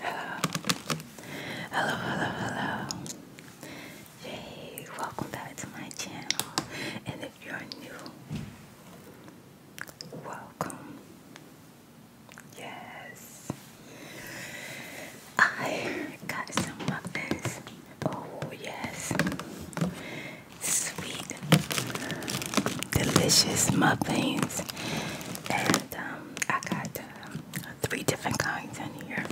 Hello. Hello, hello, hello. welcome back to my channel. And if you're new, welcome. Yes. I got some muffins. Oh, yes sweet, delicious muffins, and um, I got uh, three different kinds in here.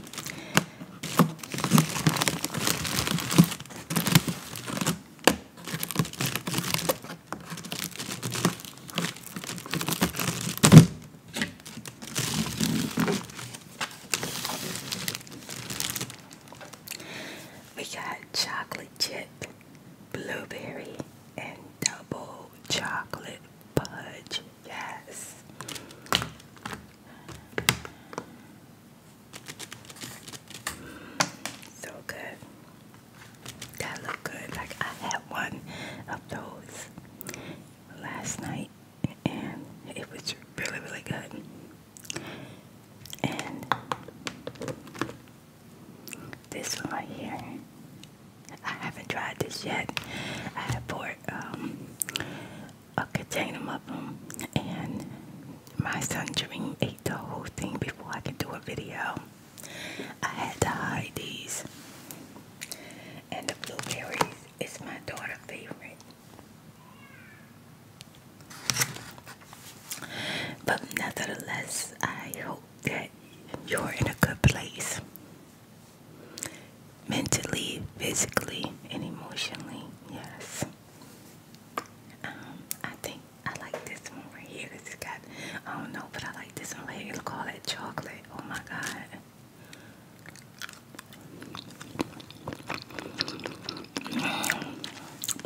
We got chocolate chip blueberry, and double chocolate fudge. Yes. So good. That look good. Like I had one of those last night and it was really really good. This one right here. I haven't tried this yet. I bought um, a container of them, and my son Dream ate the whole thing before I could do a video. I had to hide these. And the blueberries is my daughter's favorite. But nevertheless, I hope that you're in a good place mentally, physically, and emotionally. Yes. Um, I think I like this one right here. This is got, I don't know, but I like this one right here. Look, all that chocolate. Oh my God.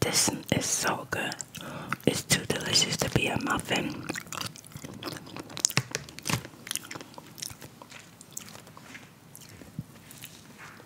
This is so good. It's too delicious to be a muffin.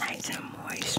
Nice and moist.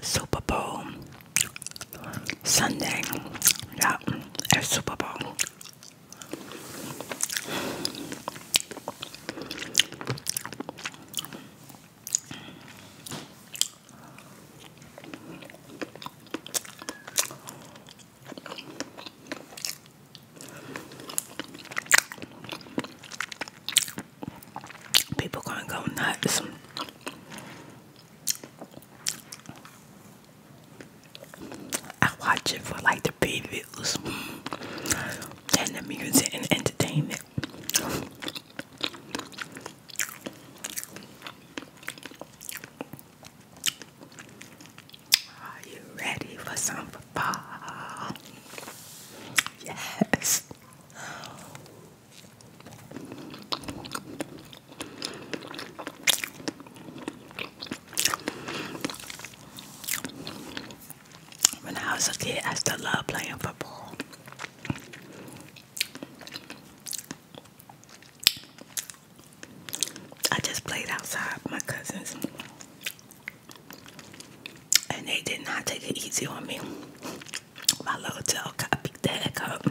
Super Bowl Sunday. Yeah, it's Super Bowl. People gonna go nuts. I watch it for like the videos and the music and entertainment. Are you ready for some fun? Yes. When I was a kid, I still loved playing football. I just played outside my cousins, and they did not take it easy on me. My little gel copy that up.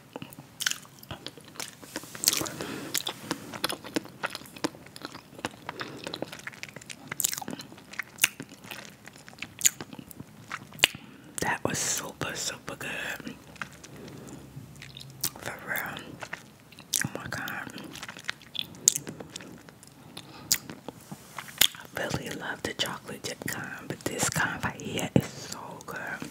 That was super, super good. For real. Oh my god. I really love the chocolate chip kind, but this kind right here is so good.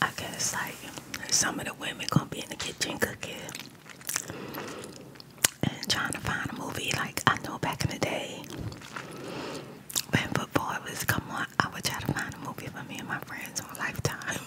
I guess like some of the women gonna be in the kitchen cooking and trying to find a movie. Like I know back in the day when football was come on, I would try to find a movie for me and my friends on Lifetime.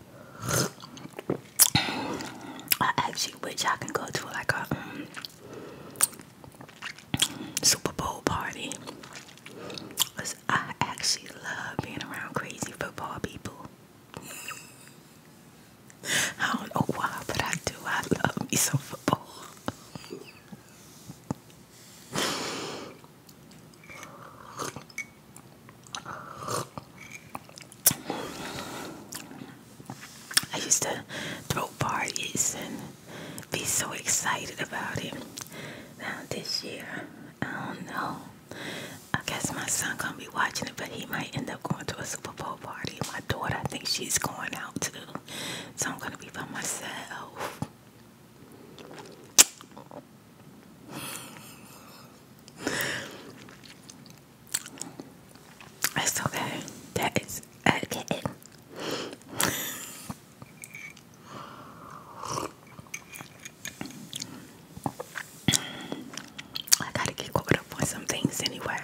I actually wish I can go to like a um, Super Bowl party. Cause I actually love being around crazy football people. I don't know why, but I do. I love me some football. I used to throw parties and be so excited about it. Now this year, I don't know. I guess my son gonna be watching it, but he might end up going to a Super Bowl party. My daughter, I think she's going out too, so I'm gonna be by myself. It's okay. That is okay. I gotta get caught up on some things anyway.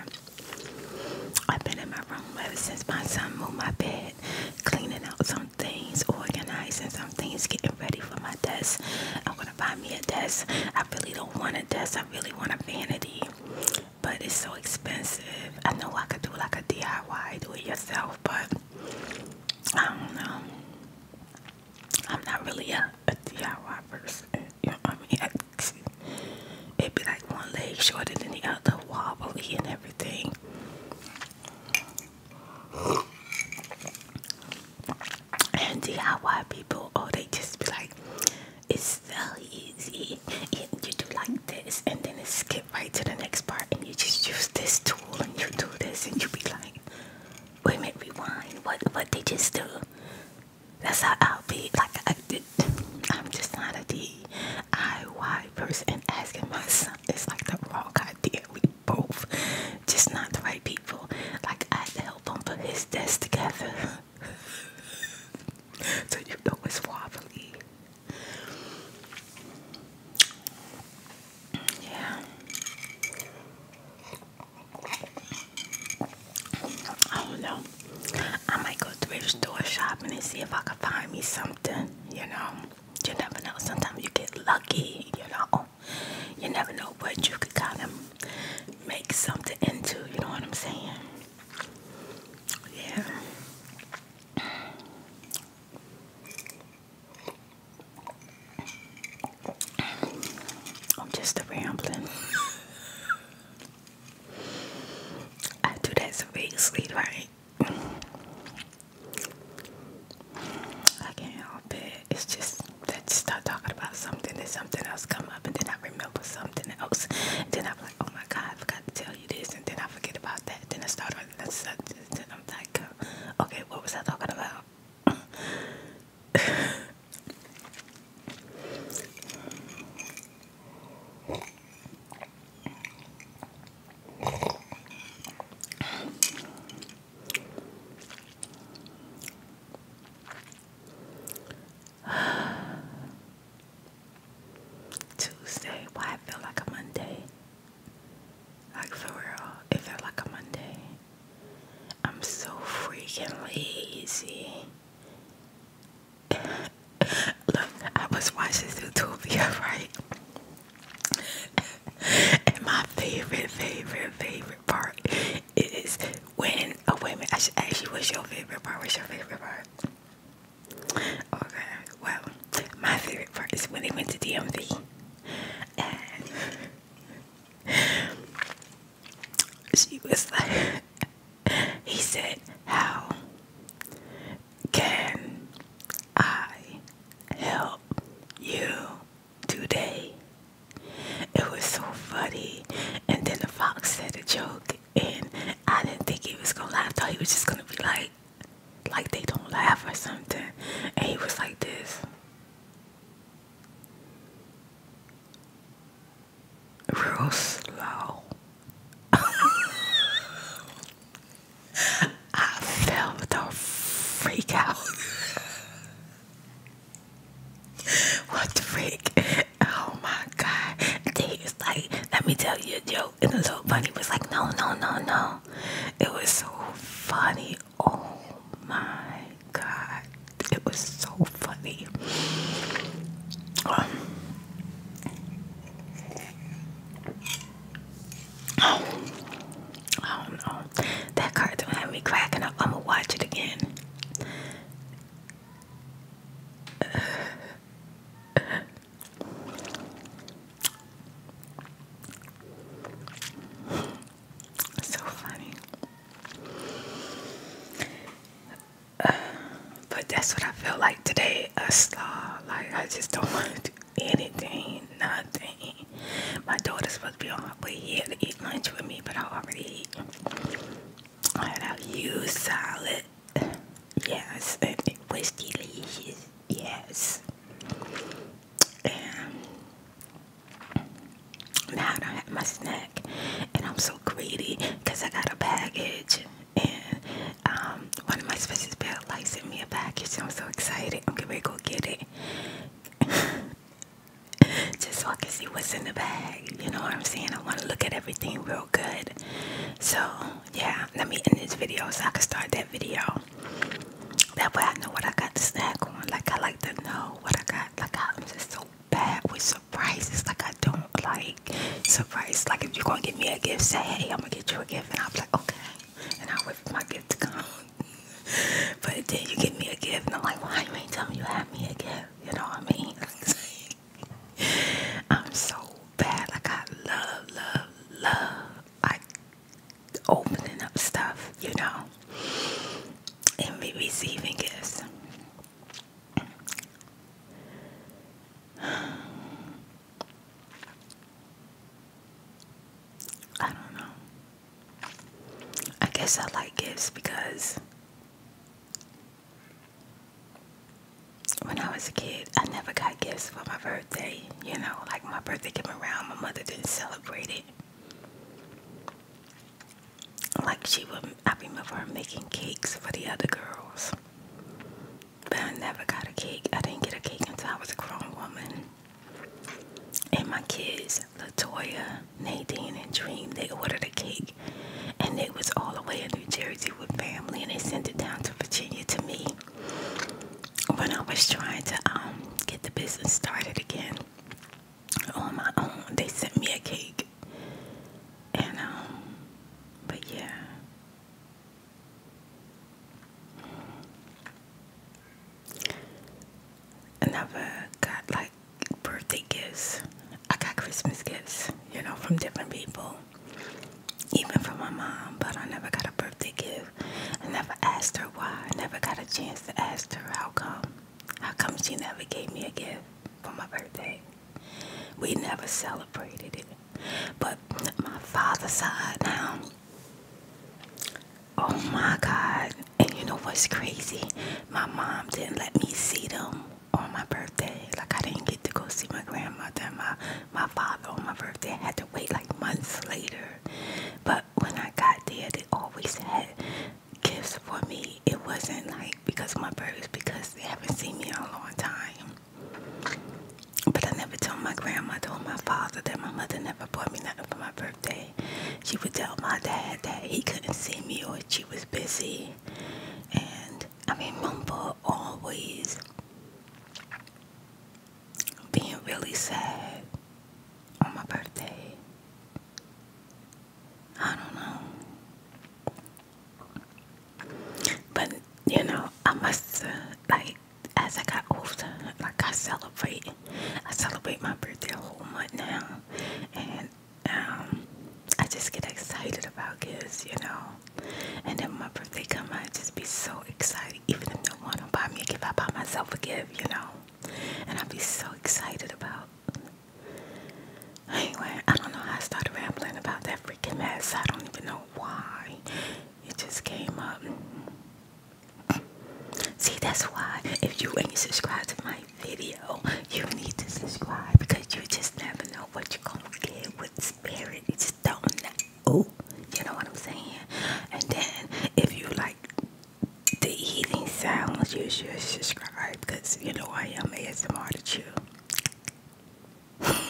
I've been in my room ever since my son moved my bed, cleaning out some things, organizing some things, getting ready for my desk going me a desk. I really don't want a desk. I really want a vanity, but it's so expensive. I know I could do like a DIY, do it yourself, but I don't know. I'm not really a, a DIY person. You know what I mean? It'd be like one leg shorter than the other, wobbly and everything and DIY people, oh, they just be like, it's so easy. You do like this, and then it skip right to the next part, and you just use this tool, and you do this, and you be like, wait rewind. What what they just do? That's how I'll be. Like I did. I'm just not a DIY person. Asking myself, it's like the wrong idea. We both just not the right people. Like I help him put his desk together. so you know it's wobbly. Yeah. I do I might go thrift store shopping and see if I can find me something, you know. You never know. Sometimes you get lucky, you know. You never know what you could kind of make something into. You know what I'm saying? Yeah. I'm just rambling. I do that so seriously, right? I can't help it it's just that you start talking about something and something else come up and then I remember something else. then I'm like, oh my God, I forgot to tell you this. And then I forget about that. Then I start on that subject Then I'm like, oh, okay, what was I talking about? Tuesday. Why it felt like a Monday? Like for real, it felt like a Monday. I'm so freaking lazy. Look, I was watching YouTube, right? and my favorite, favorite, favorite part is when a woman. I should ask you what's your favorite part. What's your favorite part? Okay, well, my favorite part is when they went to DMV. And she was like, he said, How can I help you? today. It was so funny. And then the fox said a joke and I didn't think he was gonna laugh. I thought he was just gonna be like like they don't laugh or something. And he was like this. Real slow. I felt the freak out. What the freak? Oh my god. They was like, let me tell you a joke. And the little bunny was like, no, no, no, no. It was so funny. Oh my god. It was so funny. Um, I don't know. That don't have me cracking up. I'm gonna watch it again. so funny. but that's what I feel like today. A slaw. Like I just don't want to do anything nothing. My daughter's supposed to be on her way here to eat lunch with me, but I already ate. I had a huge salad. Yes, and it was delicious. Yes. And now I have my snack, and I'm so greedy because I got a package. And um, one of my special bell like sent me a package. I'm so excited. I'm gonna go get it. just so I can see what's in the bag. You know what I'm saying? I want to look at everything real good. So, yeah, let me end this video so I can start that video. That way I know what I got to snack on. Like, I like to know what I got. Like, I'm just so bad with surprises. Like, I don't like surprises. Like, if you're going to give me a gift, say, hey, I'm going to get you a gift. And I'll be like, okay and I wait my gift to come. but then you give me a gift, and I'm like, why you ain't telling me you have me a gift? You know what I mean? I'm so bad. I got love, love, love like opening up stuff, you know, and me receiving gifts. I don't know. I guess I like gifts because when I was a kid, I never got gifts for my birthday. You know, like my birthday came around, my mother didn't celebrate it. Like she would, I remember making cakes for the other girls. But I never got a cake. I didn't get a cake until I was a grown woman and my kids, Latoya, Nadine, and Dream, they ordered a cake, and it was all the way in New Jersey with family, and they sent it down to Virginia to me when I was trying to um, get the business started again on my own. They sent me a cake, and um, but yeah. I never got like birthday gifts. I got Christmas gifts, you know, from different people, even from my mom, but I never got a birthday gift. I never asked her why. I never got a chance to ask her how come. How come she never gave me a gift for my birthday? We never celebrated it. But my father side now, Oh my God. And you know what's crazy? My mom didn't let me see them on my birthday. Like I didn't get to go see my grandmother and my, my father on my birthday. I had to wait like months later. But when I got there, they always had gifts for me. It wasn't like because my birthday, because they haven't seen me in a long time. But I never told my grandmother told my father that my mother never bought me nothing for my birthday birthday, she would tell my dad that he couldn't see me or she was busy. And I remember always being really sad on my birthday. I don't know. But, you know, I must, uh, like, as I got older, like I celebrate, I celebrate my birthday a whole month now, and um, I just get excited about gifts, you know. And then when my birthday comes, I just be so excited, even if no one don't buy me a gift, I buy myself a gift, you know. And I be so excited about. Anyway, I don't know how I started rambling about that freaking mess. I don't even know why. It just came up. See, that's why if you ain't subscribed to my video, you need to subscribe because you just never know what you're gonna get with spirit. You just don't know. Oh, you know what I'm saying? And then if you like the eating sounds, you should subscribe because you know I am ASMR to chew.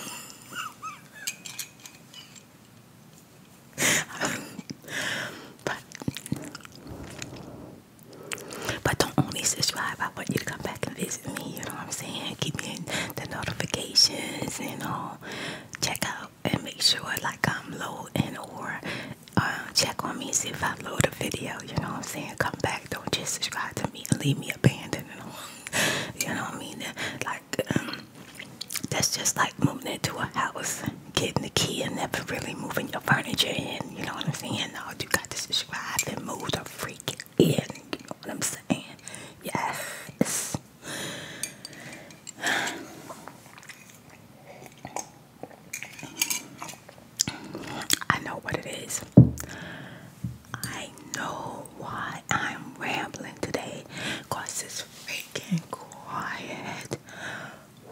but but don't only subscribe. I want you to come back and visit me. You know what I'm saying? Keep me in the notifications and all. Check out and make sure like I'm low and or uh, check on me see if I load a video. You know what I'm saying? Come back. Don't just subscribe to me and leave me abandoned. You know what I mean? Like um, that's just like moving into a house, getting the key, and never really moving your furniture in. You know what I'm saying? All you got to subscribe and move the freaking in. You know what I'm saying? Yes. I know what it is. I know why I'm rambling today. Cause it's is freaking quiet.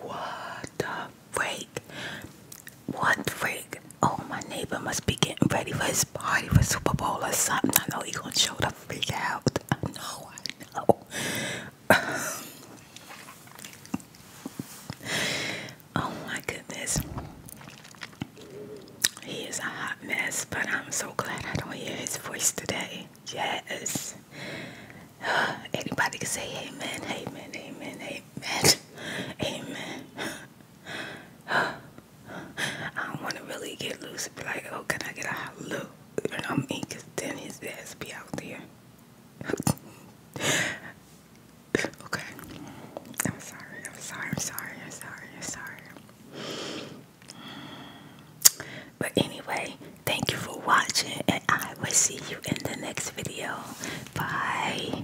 What the freak? What freak? Oh, my neighbor must be getting ready for his party for Super Bowl or something. I know he gonna show the freak out. I know, I know. oh my goodness. He is a hot mess, but I'm so glad I don't hear his voice today. Yes. Anybody can say amen, amen, amen, amen, amen. I don't want to really get loose and be like, oh, can I get a hallelujah? You know what I mean? Because then his ass be out there. okay. I'm sorry. I'm sorry. I'm sorry. I'm sorry. I'm sorry. But anyway, thank you for watching, and I will see you in the next video. Bye.